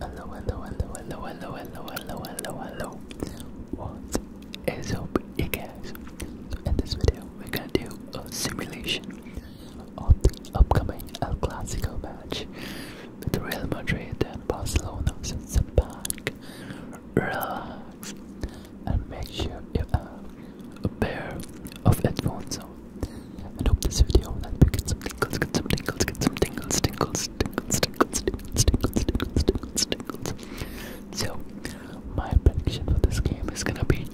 Hello, hello, hello, hello, hello, hello, hello, hello, hello. What is up, you guys? in this video, we're gonna do a simulation of the upcoming El Clasico match with Real Madrid and Barcelona. So sit back, relax, and make sure you have a pair of headphones on. And hope this video will help you get some tingles, get some tingles, get some so, my prediction for this game is gonna be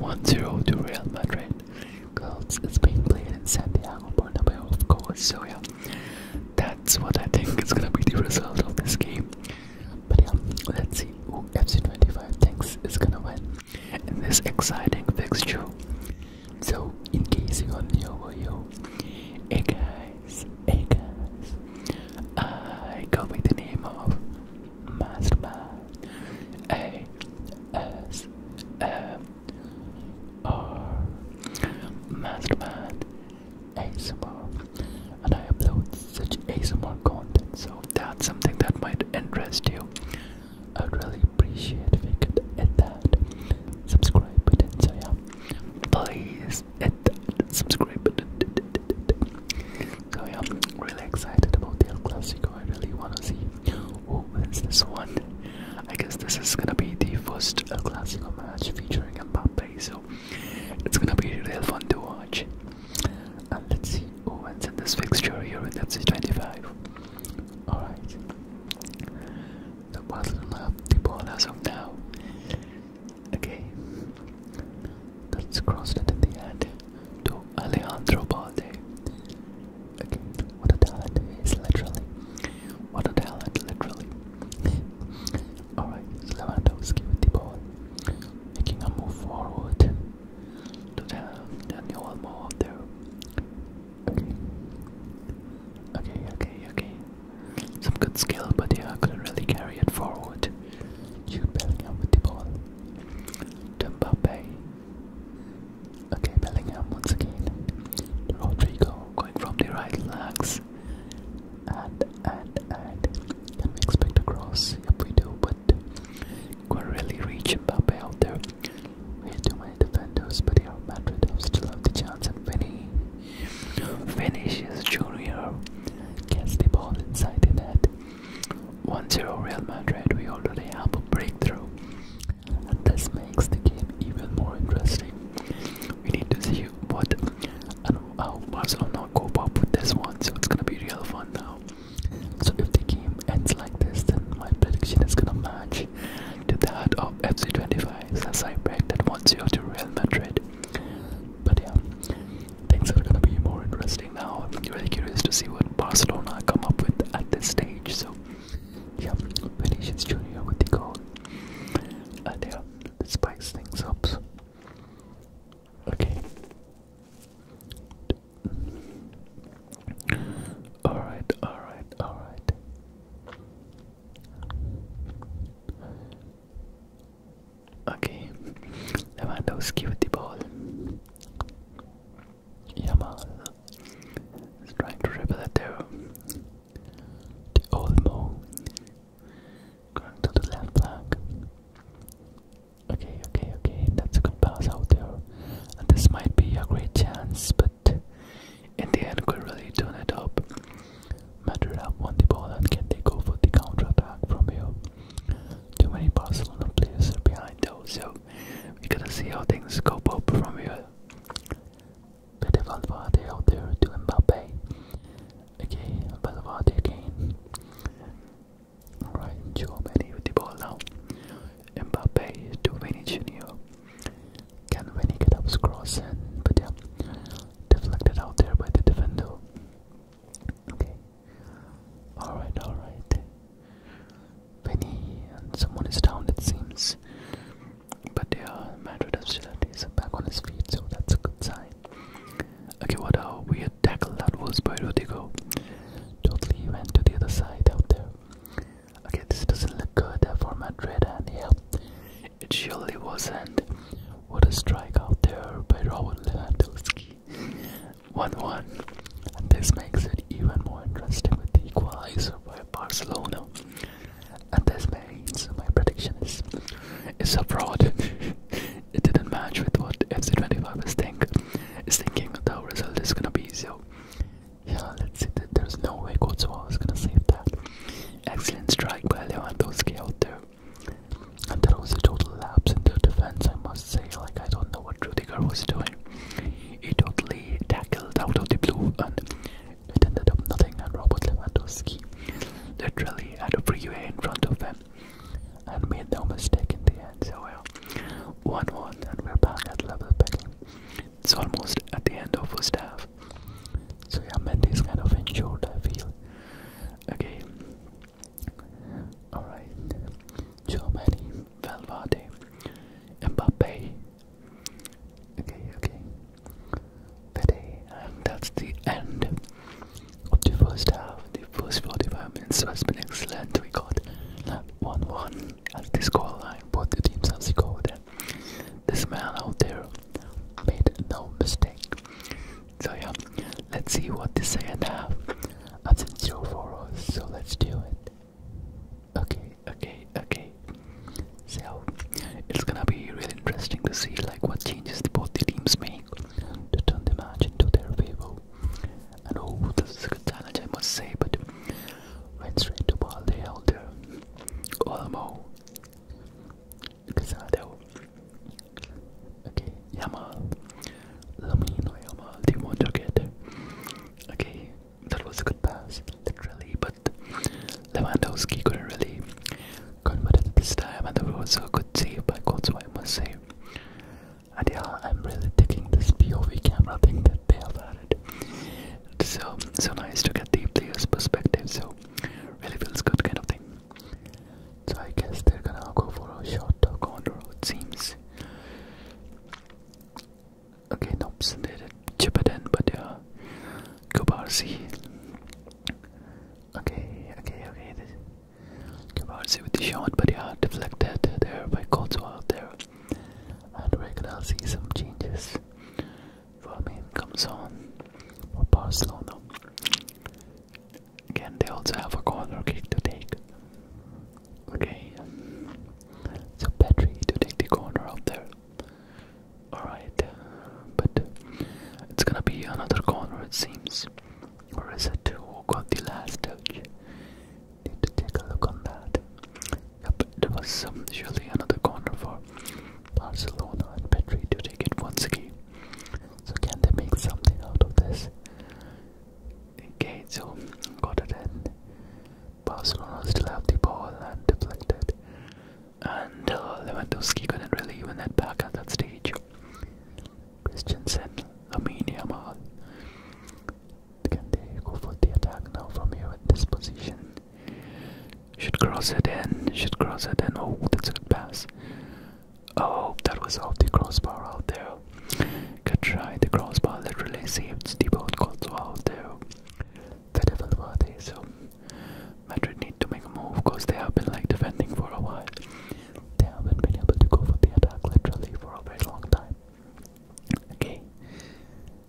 1-0 to Real Madrid. Because it's being played in Santiago Bernabeu, of course. So yeah, that's what I think is gonna be the result of this game. But yeah, let's see who FC25 thinks is gonna win in this exciting fixture. So, in case you are new over here, hey guys, hey guys, I go by the name of Mastermind A S M R Mastermind ASMR, and I upload such ASMR content. So, that's something that might interest you. I'd really appreciate if you could hit that subscribe button. So yeah, please hit that subscribe button. So yeah, I'm really excited about the El Clasico. I really want to see who wins this one. I guess this is gonna be the first El Clasico match featuring Mbappe, so it's gonna be real fun to watch. And let's see who wins in this fixture here in FC25. Alright the bottle left the ball as now. Okay, let's it in the end to Alejandro Balde. Okay, what a talent is literally. What a talent, literally. Alright, Lewandowski with the ball, making a move forward to the, the new Almo up there. Okay. Okay, okay, okay. Some good skill, but yeah, I couldn't really carry it forward. You Bellingham with the ball. Dumbappe. Okay, Bellingham once again. Rodrigo going from the right legs. And, and, and. Can we expect a cross? Yep, we do, but. Can't really reach Mbappe out there. We had too many defenders, but Real Madrid have still have the chance and Vinny Vinicius Junior gets the ball inside the net. 1-0 Real Madrid, we already have a breakthrough. And this makes the game even more interesting. We need to see what and how Barcelona cope up with this one, so it's gonna be real fun now. So if the game ends like this, then my prediction is gonna match to the heart of FC25 as I backed that 1-0 to Real Madrid. But yeah, things are gonna be more interesting now. I'm really curious to see what Barcelona come up with at this stage. So yeah, Vinicius Junior with the goal, and yeah, this spice things up. Okay. Alright, alright, alright. Okay, Lewandowski with the ball. Yamal trying to dribble it there. The Olmo going to the left flank. Okay, okay, okay, that's a good pass out there. And this might be a great chance, but in the end we really turn it up. Madrid have won the ball and can they go for the counter attack from here? Too many Barcelona players are behind though, so we are going to see how things go up from here. Bit of Valverde out there to Mbappe. Okay, Valverde again. Alright, Joe Manny with the ball now. Mbappe to Vinny Jr. Can when he up cross and but yeah deflected out there by the defender. Okay. Alright, alright. Penny and someone is down it seems. But yeah, Madrid still is back on his feet, so that's a good sign. Okay, what a weird tackle that was by Rodrigo. Totally he went to the other side out there. Okay, this doesn't look good for Madrid, and yeah, it surely wasn't. What a strike out there by Robert Lewandowski. 1 1. And this makes it even more interesting with the equalizer by Barcelona. And this means my prediction is it's a fraud. it didn't match with what FC25 was thinking. is thinking the result is gonna be. So yeah, let's see. That there's no way Courtois was gonna save that. Excellent strike by Lewandowski out there. And that was a total lapse in the defense, I must say. Like, I don't know what Rudiger was doing. He totally tackled out of the blue, and it ended up nothing. And Robert Lewandowski literally had a freeway in front of him and made no mistake in the end. So, we're 1 1, and we're back at level pegging. It's almost at the end of the first half. So yeah, Mendy is kind of injured, I feel. Okay. Alright. Germany, Valverde, Mbappe. Okay, okay. Today, and that's the end of the first half. The first 45 minutes has been excellent. We got 1 1 at this goal line, both the teams as they go This man out there made no mistake. So yeah, let's see what the second half has in store for us. So let's do it. Okay, okay, okay. So it's gonna be really interesting to see like what changes both the teams make to turn the match into their favor. And oh, this is a good challenge, I must say. But went straight to ball. They held uh, Olmo, Casado, okay, Yamal, Lamino Yamal, Timon Joget. Okay, that was a good pass, literally, but Lewandowski couldn't really convert it this time, and there was a good save by Kotswa, I must say. And yeah, I'm really taking this POV camera thing that they have added so so nice to get the player's perspective. So really feels good, kind of thing. So I guess they're gonna go for a short corner. It seems. Okay, nope, they did chip it in, but yeah, Kubarsi. Okay, okay, okay. Kubarsi with the shot, but yeah, deflected there by Kotsu out there and we're gonna see some changes. Vermin comes on for Barcelona. Again, they also have a corner kick to take. Okay, so Petri to take the corner out there. Alright, but it's gonna be another corner, it seems. Or is it who got the last touch? need to take a look on that. Yep, there was um, surely another corner for Barcelona and Petri to take it once again. So can they make something out of this? Okay, so got it in. Barcelona still have the ball and deflected. And uh, Lewandowski couldn't really even head back at that stage. Christensen, Lamine Yamal, Candeco for the attack now from here at this position. Should cross it in, should cross it in. Oh, that's a pass. Oh, that was off the crossbar out there. Good try, the crossbar literally saved the both goals out there. The devil were they, so Madrid need to make a move because they have been like defending for a while. They haven't been able to go for the attack literally for a very long time. Okay,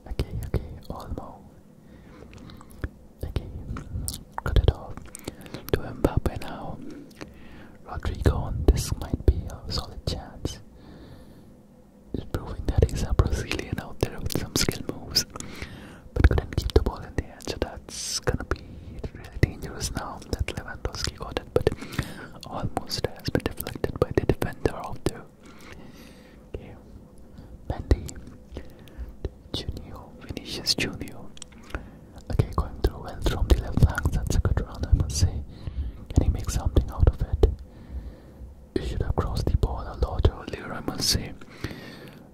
Okay, okay, Olmo. Okay, cut it off. To Mbappe now. Rodrigo, this might be a solid chance. It's proving that he's a Brazilian out there with some skill moves. But couldn't keep the ball in the end, so that's gonna be really dangerous now that Lewandowski got it, but almost has deflected by the defender out Okay. Junior. Vinicius Junior. Okay, going through well from the left flank. That's a good run, I must say. Can he make something out of it? He should have crossed the ball a lot earlier, I must say.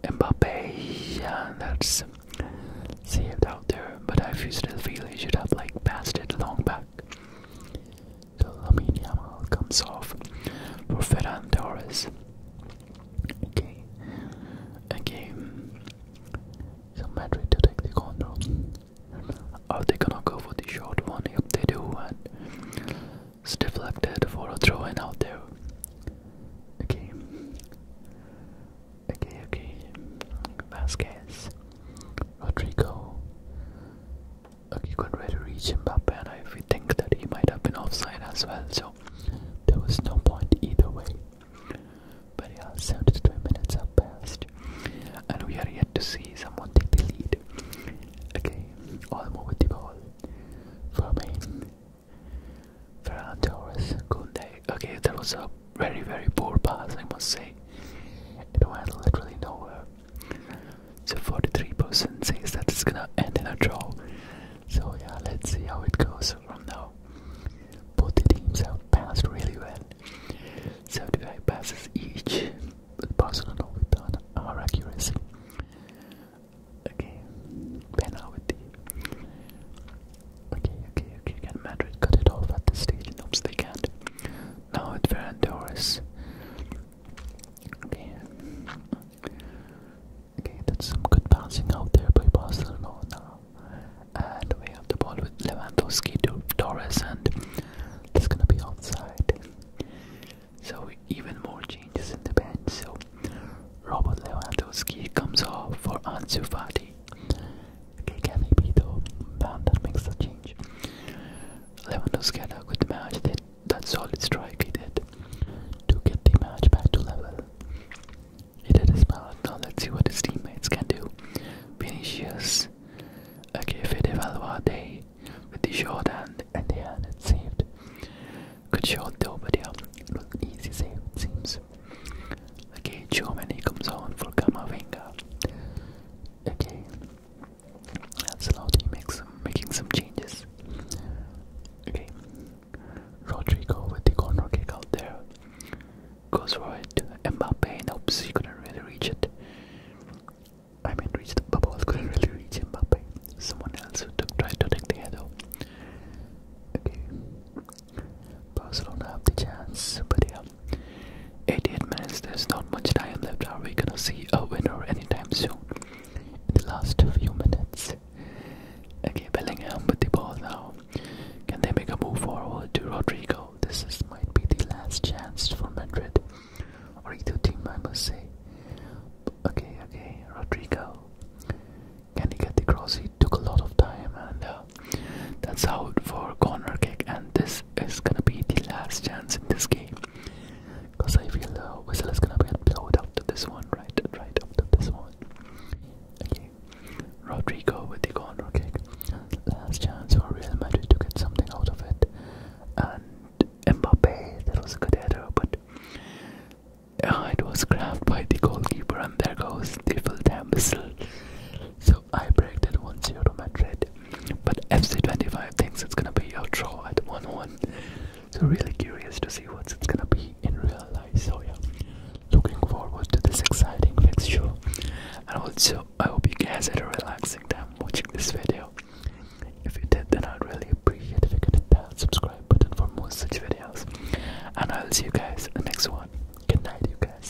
Mbappe, yeah, that's saved out there, but I still feel he should have like passed it long back so Lamine Yamal comes off for Ferran Torres. Okay, a game. So Madrid to take the control. Oh, Are they gonna go for the short one? Yep, they do, and it's deflected for a throw in out there. Okay, okay, okay. Vasquez, Rodrigo, Okay, he couldn't really reach Mbappe, and I, think that he might have been offside as well, so there was no point either way. But yeah, 20 minutes have passed, and we are yet to see someone take the lead. Okay, all Olmo with the ball. me, Ferran Torres. Kunde. Okay, that was a very, very poor pass, I must say. It went literally nowhere. So 43% says that it's gonna end in a draw. So yeah, let's see how it goes from now. Both teams have passed really well. 75 passes each. Barcelona with an our accuracy. Okay, Pena with Okay, okay, okay. Can Madrid cut it off at this stage? Nope, they now it Ferran Okay. Okay, that's some good bouncing out there by Barcelona. And we have the ball with Lewandowski to Torres, and it's gonna be outside. So even more changes in the bench. So Robert Lewandowski comes off for Ansu Fati. Okay, can he be the man that makes the change? Lewandowski had a match. They, that solid strike he did to get the match back to level. He did his part. Now let's see what his teammates can do. Vinicius. Okay, Fede Valverde with the short hand and the hand saved. Good shot though, but yeah, it easy save seems. Okay, Germany comes on for Kamavinga. Okay, Ancelotti makes some, making some changes. Okay, Rodrigo with the corner kick out there. Goes right to Mbappe and oops, he couldn't really reach it. I mean, reach the bubble, couldn't really reach Mbappe. Someone else who took, tried to take the head Okay, Barcelona have the chance, but they 88 minutes, there's not much time left. Are we gonna see a winner anytime soon? In the last few minutes. Okay, Bellingham with the ball now. Can they make a move forward to Rodrigo? This might be the last chance for Madrid. Or either team, I must say. Okay, okay, Rodrigo. Can he get the cross? He took a lot of time, and uh, that's out for corner kick. And this it's gonna be the last chance in this game. Because I feel uh, Whistle is gonna get blowed after this one, right? Right after this one. Okay. Rodrigo with the corner kick. Last chance for Real Madrid to get something out of it. And Mbappe, that was a good header, but uh, it was grabbed by the goalkeeper, and there goes the full time whistle. So so I predicted 1-0 to Madrid. But FC25 thinks it's gonna be a draw at 1-1. So really curious to see what it's gonna be in real life. So yeah, looking forward to this exciting fixture. And also, I hope you guys had a relaxing time watching this video. If you did, then I'd really appreciate if you could hit that subscribe button for more such videos. And I'll see you guys in the next one. Good night, you guys.